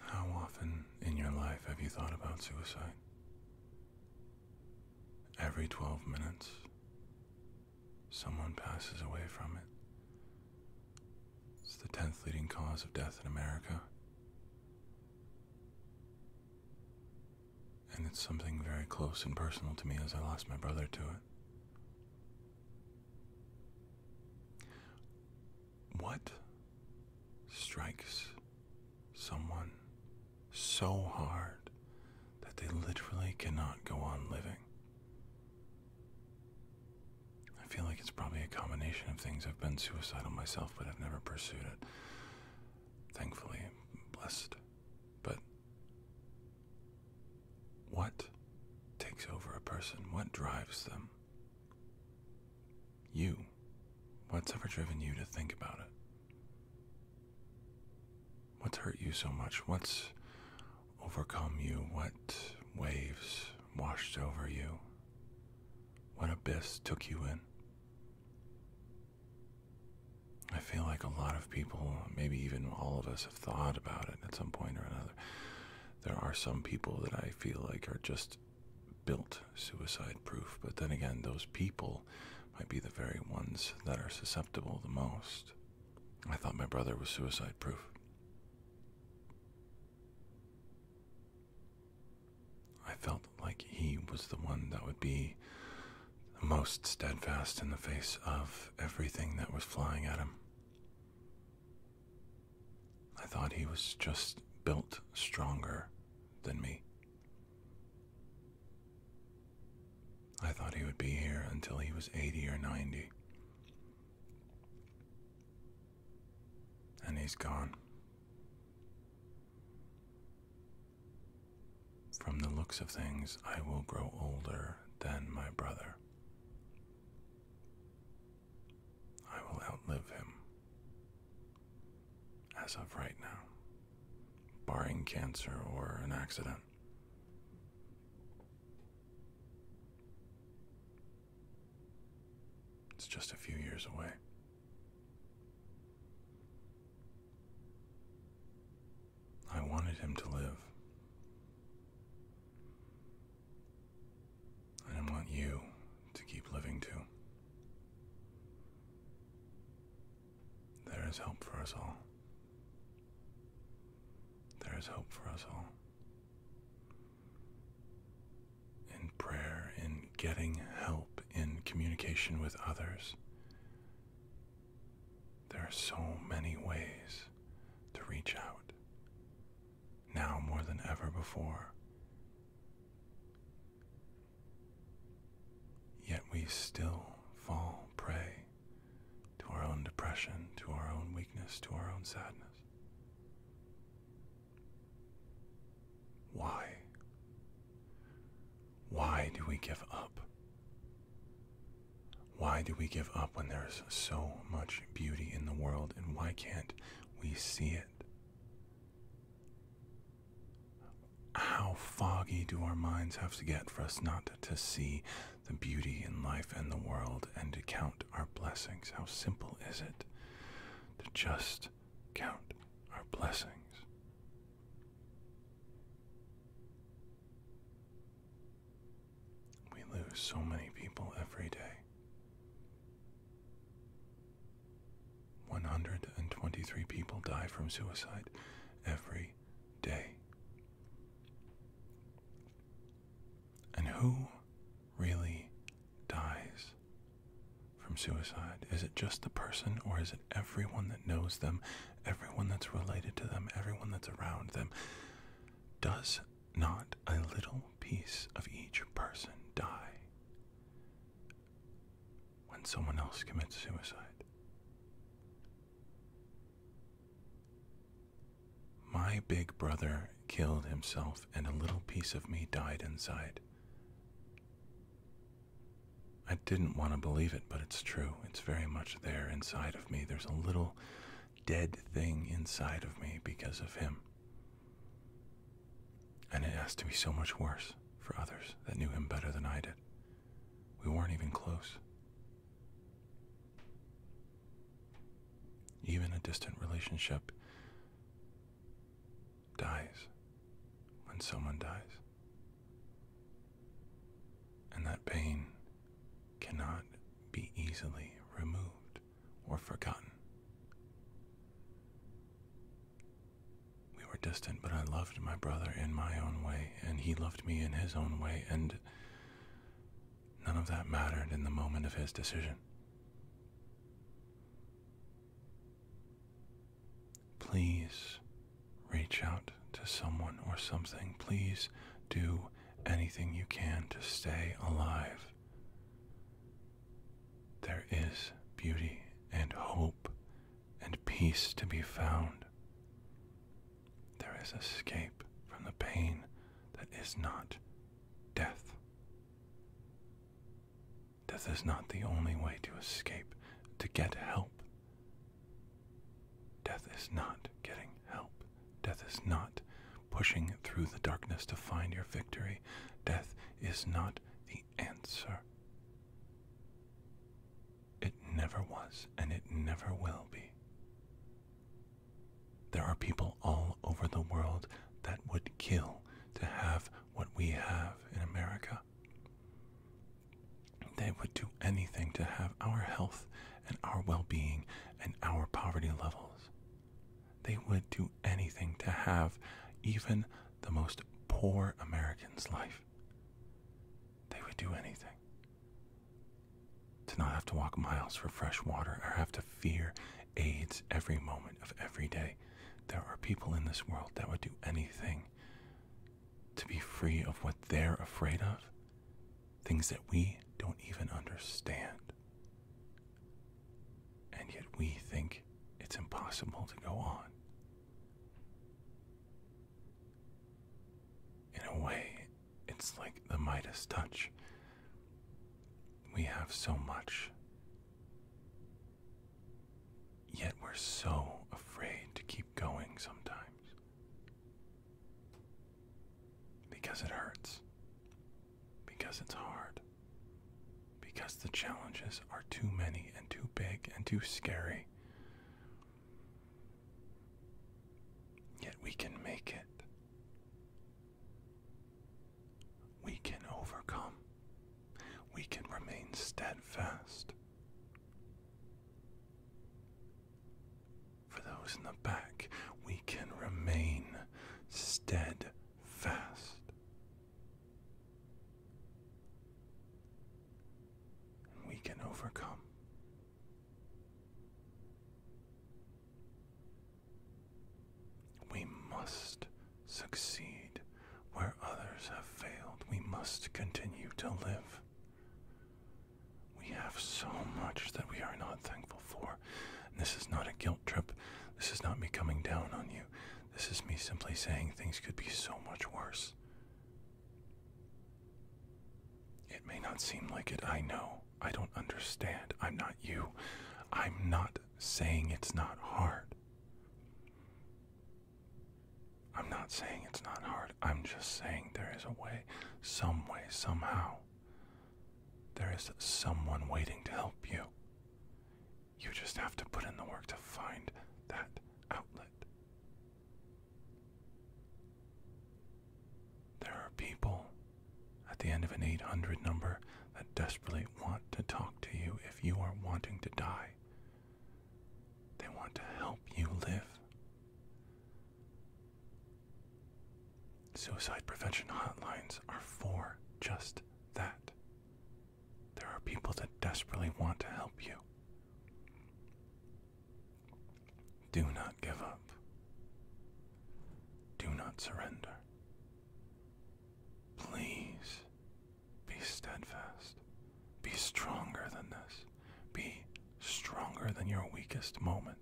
How often in your life have you thought about suicide? Every 12 minutes, someone passes away from it. It's the 10th leading cause of death in America. And it's something very close and personal to me as I lost my brother to it. What strikes someone so hard that they literally cannot go on living? I feel like it's probably a combination of things. I've been suicidal myself, but I've never pursued it. Thankfully, blessed. But what takes over a person? What drives them? You. What's ever driven you to think about it? What's hurt you so much? What's overcome you? What waves washed over you? What abyss took you in? I feel like a lot of people, maybe even all of us, have thought about it at some point or another there are some people that I feel like are just built suicide proof, but then again, those people might be the very ones that are susceptible the most. I thought my brother was suicide proof. I felt like he was the one that would be the most steadfast in the face of everything that was flying at him. I thought he was just built stronger than me. I thought he would be here until he was 80 or 90. And he's gone. From the looks of things, I will grow older than my brother. I will outlive him. As of right now, barring cancer or an accident. It's just a few years away. I wanted him to live. And I want you to keep living too. There is hope for us all. There is hope for us all. In prayer, in getting help, in communication with others, there are so many ways to reach out, now more than ever before. Yet we still fall prey to our own depression, to our own weakness, to our own sadness. Why? Why do we give up why do we give up when there's so much beauty in the world and why can't we see it? How foggy do our minds have to get for us not to see the beauty in life and the world and to count our blessings? How simple is it to just count our blessings? We lose so many people every day. 123 people die from suicide every day. And who really dies from suicide? Is it just the person, or is it everyone that knows them everyone that's related to them, everyone that's around them. Does not a little piece of each person die when someone else commits suicide? My big brother killed himself, and a little piece of me died inside. I didn't want to believe it, but it's true. It's very much there inside of me. There's a little dead thing inside of me because of him. And it has to be so much worse for others that knew him better than I did. We weren't even close. Even a distant relationship dies when someone dies and that pain cannot be easily removed or forgotten. We were distant, but I loved my brother in my own way, and he loved me in his own way, and none of that mattered in the moment of his decision. Please reach out to someone or something. Please do anything you can to stay alive. There is beauty and hope and peace to be found. There is escape from the pain that is not death. Death is not the only way to escape, to get help. Death is not getting help. Death is not pushing through the darkness to find your victory. Death is not the answer. It never was, and it never will be. There are people all over the world that would kill to have what we have in America. They would do anything to have our health and our well being and our poverty levels. They would do anything to have even the most poor American's life. They would do anything to not have to walk miles for fresh water or have to fear AIDS every moment of every day. There are people in this world that would do anything to be free of what they're afraid of, things that we don't even understand. And yet we think it's impossible to go on. In a way, it's like the Midas touch. We have so much, Yet we're so afraid to keep going sometimes. Because it hurts. Because it's hard. Because the challenges are too many and too big and too scary. Yet we can make it. We can overcome we can remain steadfast. For those in the back, we can remain steadfast. we can overcome. We must succeed where others have failed. We must continue to live. We have so much that we are not thankful for. this is not a guilt trip. This is not me coming down on you. This is me simply saying things could be so much worse. It may not seem like it, I know. I don't understand. I'm not you. I'm not saying it's not hard. I'm not saying it's not hard. I'm just saying there is a way, some way, somehow. There is someone waiting to help you. You just have to put in the work to find that outlet. There are people at the end of an 800 number that desperately want to talk to you if you are wanting to die. They want to help you live. Suicide prevention hotlines are for just that. There are people that desperately want to help you. Do not give up. Do not surrender. Please be steadfast. Be stronger than this. Be stronger than your weakest moment.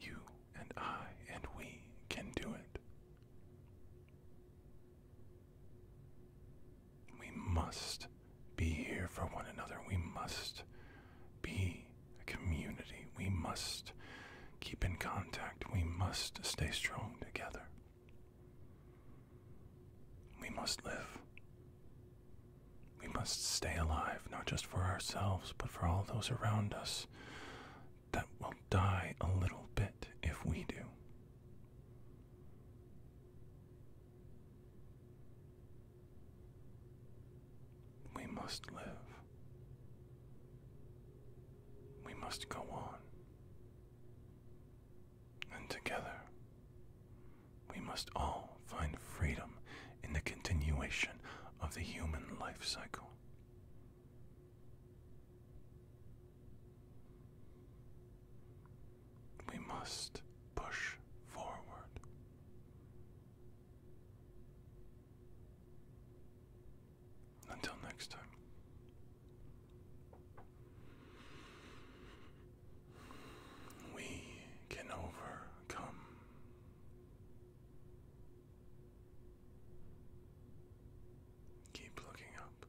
You and I and we can do it. We must be here for one another. We must be a community. We must keep in contact. We must stay strong together. We must live. We must stay alive, not just for ourselves, but for all those around us that will die a little bit if we do. We must live. We must go on. And together, we must all find freedom in the continuation of the human life cycle. We must push forward. Until next time. We can overcome. Keep looking up.